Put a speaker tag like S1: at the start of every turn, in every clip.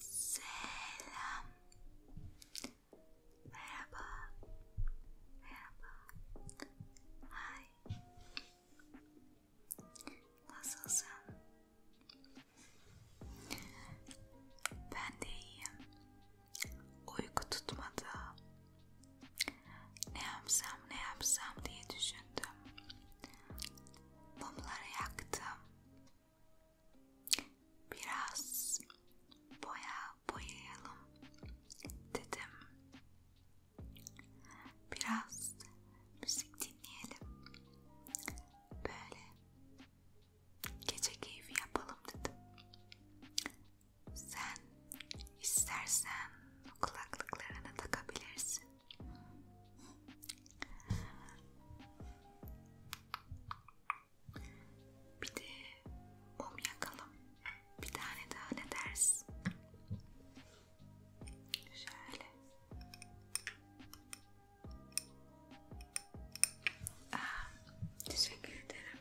S1: Selam. Merhaba. Merhaba. Hay.
S2: Nasılsın? Ben de iyiyim. Uyku tutmadı. Ne yapsam ne yapsam diye düşündüm. Mumları yaktım. Biraz boya boyayalım dedim. Biraz müzik dinleyelim. Böyle gece keyfi yapalım dedim. Sen istersen kulaklıklarını takabilirsin. Bir de mum yakalım. Bir tane daha ne dersin? Şöyle. Aa, ah, teşekkür ederim.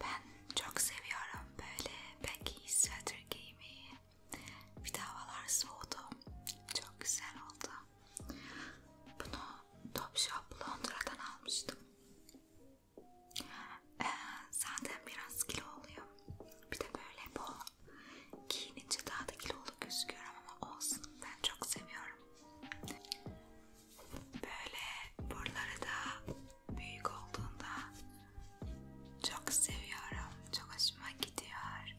S2: Ben çok seviyorum böyle baggy sweater giymeyi. Bir de havalar soğudu. Çok güzel oldu. Bunu Topshop Londra'dan almıştım. Ee, zaten biraz kilo oluyor. Bir de böyle bu giyinince daha da kilolu gözüküyor ama olsun. Ben çok seviyorum. Böyle buraları da büyük olduğunda çok seviyorum. Çok hoşuma gidiyor.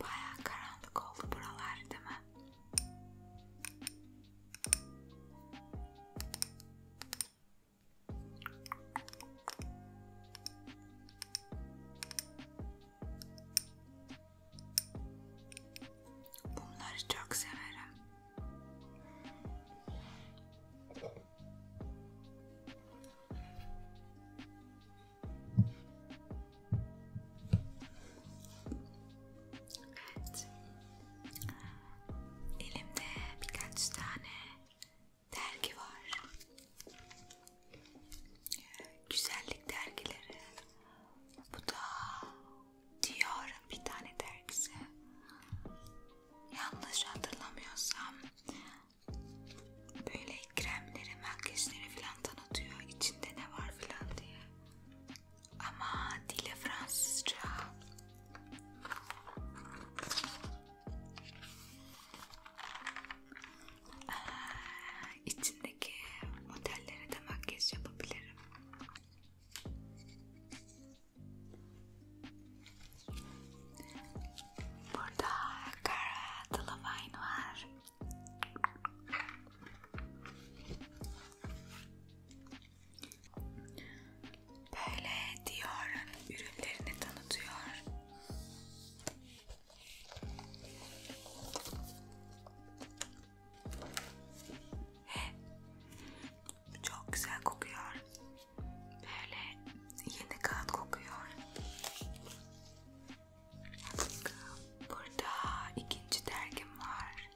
S2: Bayağı karanlık oldu buralar değil mi? Bunları çok severim. Evet. Elimde birkaç tane dergi var. Güzellik dergileri. Bu da Dior'un bir tane dergisi. Yanlış hatırlamıyorsam böyle kremleri, makyajları falan tanıtıyor. İçinde ne var falan diye ama dili Fransızca. Ee, içindeki modellere de makyaj yapabilirim. Burada Cara Delevingne var. Böyle Dior'un ürünlerini tanıtıyor. Çok güzel kokuyor. Böyle yeni kağıt kokuyor. Burada ikinci dergim var.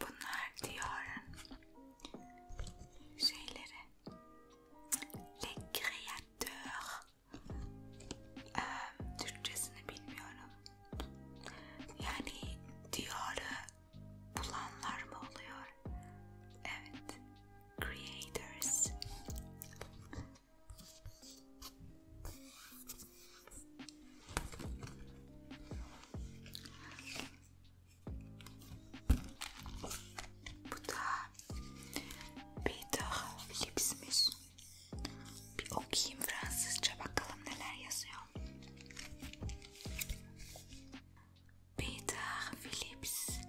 S2: Bunlar diyarın şeyleri. Les créateurs ee, Türkçesini bilmiyorum. Yani diyarı bulanlar mı oluyor? Evet. Creators. Bu da Peter Phillips'miş. Peter Philips,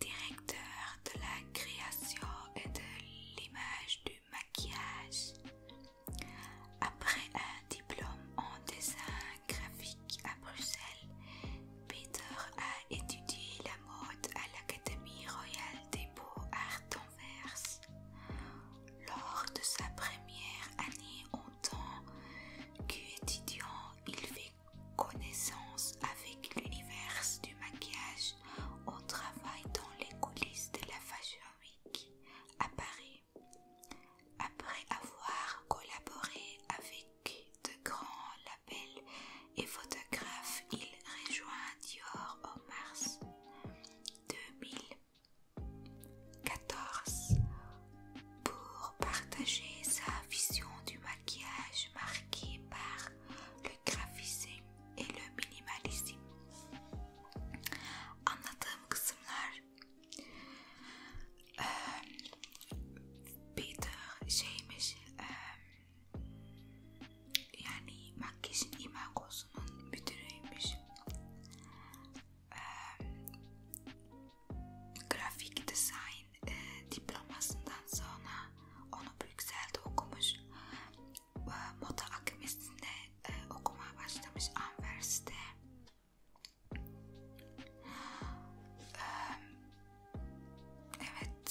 S2: directeur de la création et de l'image du maquillage. Après un diplôme en dessin graphique à Bruxelles, Peter a étudié la à l'Académie royale des beaux-arts d'Anvers. Lors de sa première année en tant qu'étudiant, il fait connaissance avec l'univers du maquillage au travail dans les coulisses de la Fashion Week à Paris. Après avoir collaboré avec de grands labels et photographe, il rejoint Dior en mars 2014 pour partager sa vision du maquillage marqué par le graphisme et le minimalisme. en euh, Peter James. Euh, yani makyajın imagosunun müdürüymüş. Ee, grafik design e, diplomasından sonra onu Brüksel'de okumuş. E, moda akademisi'nde e, okumaya başlamış Anvers'te. Ee, evet,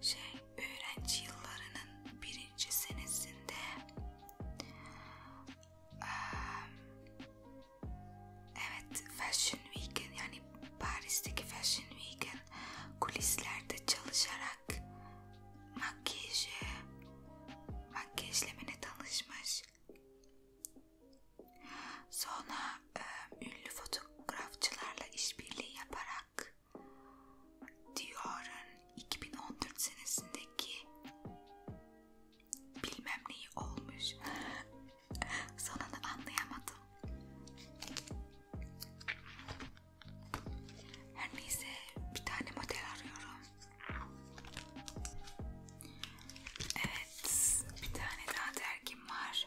S2: şey öğrenci yıllarının birinci senesinde evet Fashion Week'in yani Paris'teki Fashion Week'in kulislerde çalışarak makyajı makyajlemine tanışmış sonra e, ünlü fotoğrafçılarla işbirliği yaparak Dior'un 2014 senesindeki bilmem neyi olmuş. Sonunu anlayamadım. Her neyse bir tane model arıyorum. Evet bir tane daha dergim var.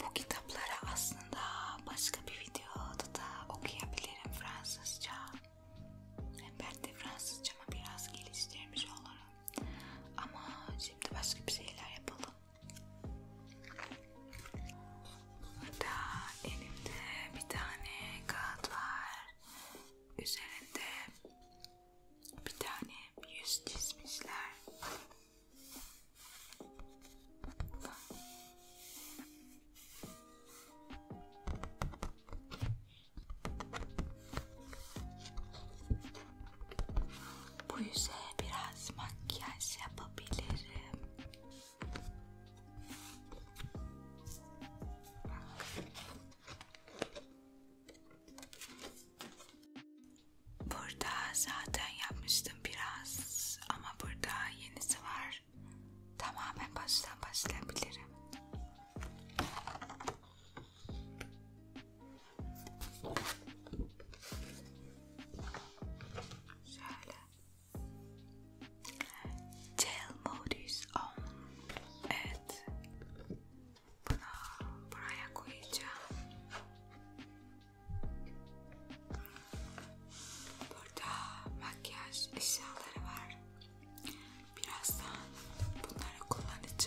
S2: Bu kitapları aslında başka bir videoda da okuyabilirim Fransızca. Ben de Fransızcamı biraz geliştirmiş olurum. Ama şimdi başka bir şeyler yapalım. Burada elimde bir tane kağıt var. Üzerinde bir tane yüz çizmişler. Bu yüze biraz makyaj yapabilirim. Bak. Burada zaten yapmıştım biraz ama burada yenisi var. Tamamen baştan başlayabilirim. Şöyle. Jail mode is on. Evet. Bunu buraya koyacağım. Burada makyaj eşyaları var. Birazdan bunları kullanacağım.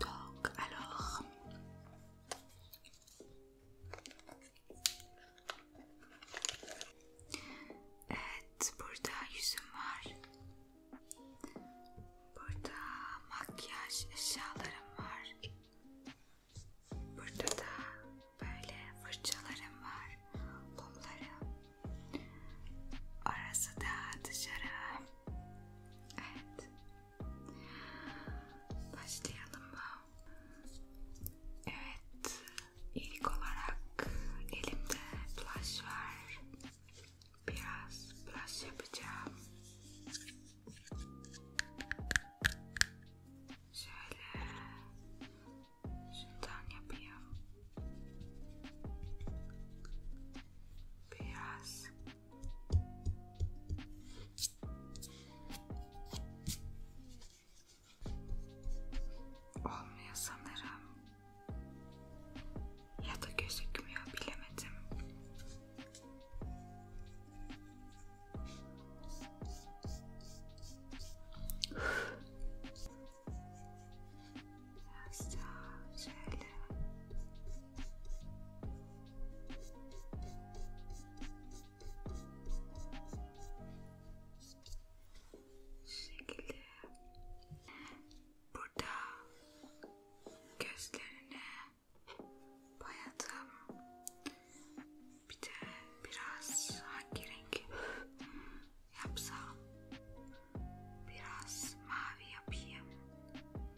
S2: Donc, alors, evet burada yüzüm var. Burada makyaj eşyalarım var. Burada da böyle fırçalarım var, mumlarım. Orası da dışarı. Evet. Başlayalım mı? Evet, ilk olarak elimde blush var. Biraz blush yapacağım. Şöyle şundan yapayım. Biraz Olmuyor sanırım. Ya da
S1: gözükmüyor bilemedim. Biraz daha şöyle şekilde
S2: burada gözlerine bayadım bir de biraz hangi renk yapsam biraz mavi yapayım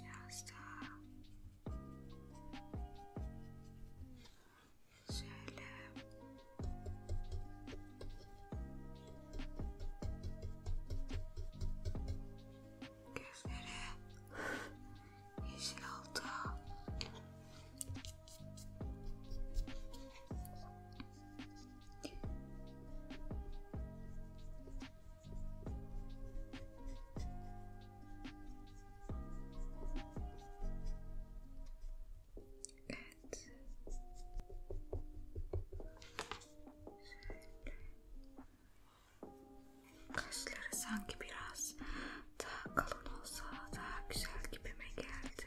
S2: Biraz daha şöyle gözleri yeşil oldu Evet. Kaşları sanki biraz daha kalın olsa daha güzel gibime geldi.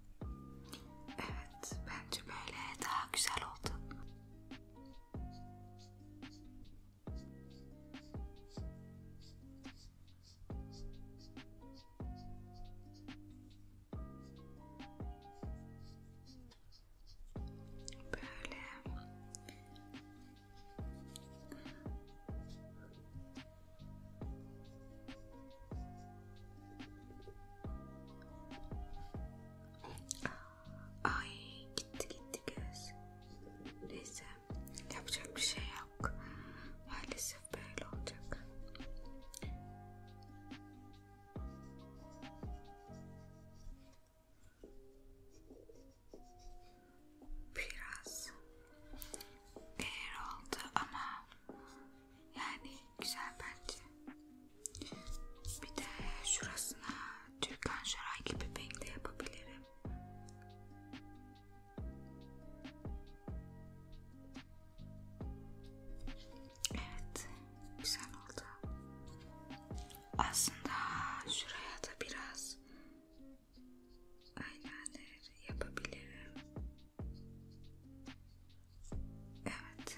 S2: Evet, bence böyle daha güzel oldu. Böyle. Ay gitti gitti göz. Neyse yapacak bir şey yok. Maalesef böyle olacak.
S1: Biraz
S2: değer oldu ama yani Güzel bence. Bir de şurasına Türkan Şaray gibi renk de yapabilirim. Evet. Güzel oldu. Aslında şuraya da biraz eyeliner yapabilirim. Evet.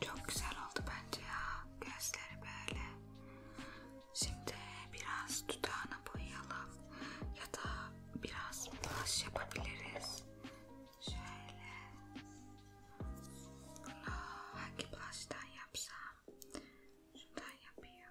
S2: Çok güzel oldu bence ya. Gözleri böyle. Şimdi biraz dudağına boyayalım. Ya da biraz blush yapabiliriz. Şöyle. Bunu hangi blush'tan yapsam? Şuradan yapayım.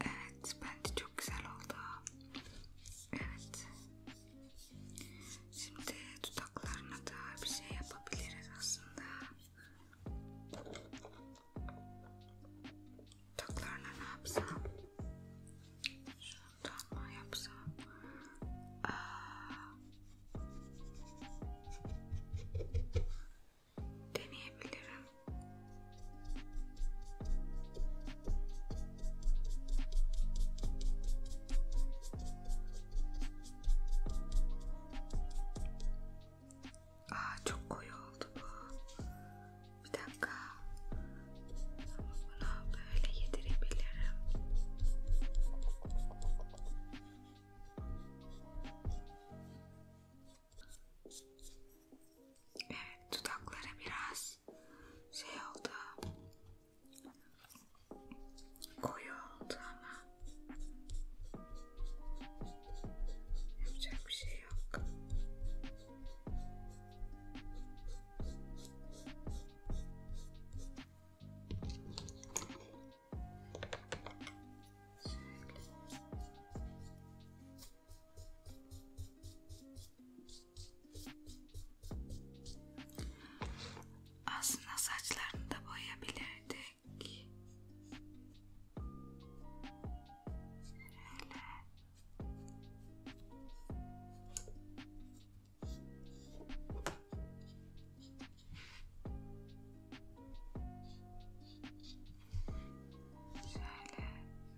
S2: Evet bence çok güzel oldu. Evet. Şimdi dudaklarına da bir şey yapabiliriz aslında. Dudaklarına ne yapsam? Şundan mı yapsam? Aa deneyebilirim.
S1: Aa çok koyu oldu bu. Bir dakika. Ama bunu böyle yedirebilirim.
S2: Evet dudaklara biraz şey oldu. Koyu oldu ama yapacak bir şey yok. Şöyle. Aslında saçlarını da boyayabilirdik. Şöyle. Şöyle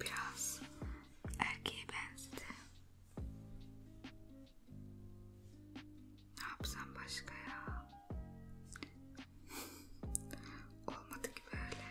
S2: Biraz erkeğe benzedi. Ne yapsam başka ya?
S1: Olmadı ki böyle.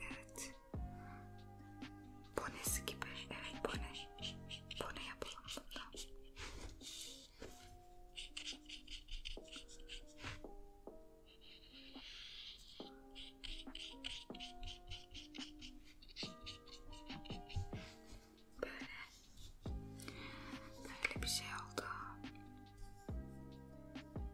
S1: Evet. Bonesi gibi. Evet bone. Bone yapalım bundan. Böyle. Böyle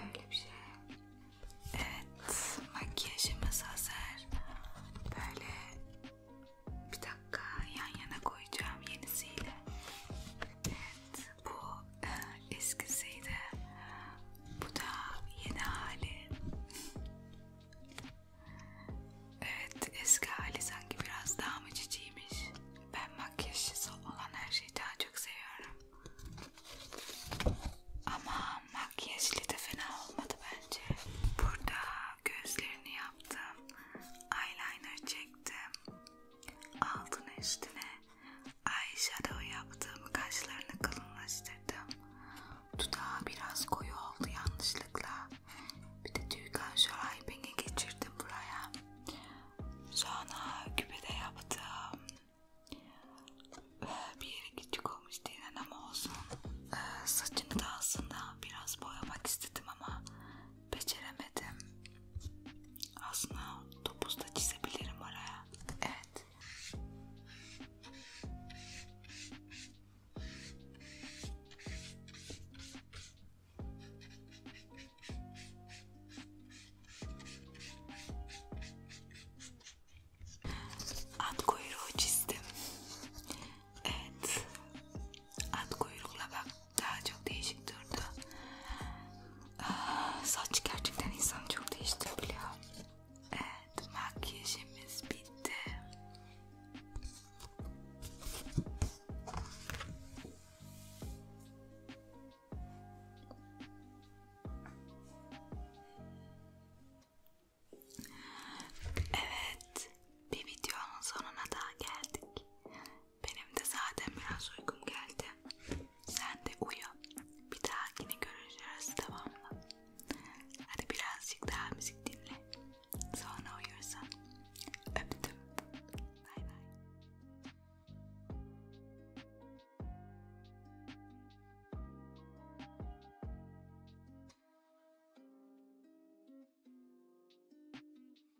S1: Böyle bir şey.
S2: Evet, makyajımız hazır. Böyle bir dakika yan yana koyacağım yenisiyle. Evet bu e, eskisiydi. Bu da yeni hali. Evet eski hali sanki biraz daha mı ciciymiş. Ben makyajsız olan her şeyi daha çok seviyorum. Ama makyajlı da fena olmadı bence. Burada gözlerini yaptım. Eyeliner çektim. Altın üstüne eyeshadow yaptığım kaşlarını kalınlaştırdım. Dudağı biraz koyu oldu yanlışlıkla. Bir de tüy kaşoraybeni geçirdim buraya. Sonra küpede yaptım. Ee, bir yeri küçük olmuş değil ama olsun. Ee, saçını da aslında biraz boyamak istedim ama beceremedim. Aslında topuz da çizebilirim oraya. Evet. At kuyruğu çizdim. Evet. At kuyrukla bak daha çok değişik durdu. Aa, ah, saç gerçekten insanı çok değiştirebiliyor. Evet makyajımız bitti. Evet, bir videonun sonuna daha geldik. Benim de zaten biraz uykum geldi. Sen de uyu. Bir dahakini görüşürüz tamam mı? Hadi birazcık daha müzik dinle. Sonra uyursan. Öptüm. Bay bay.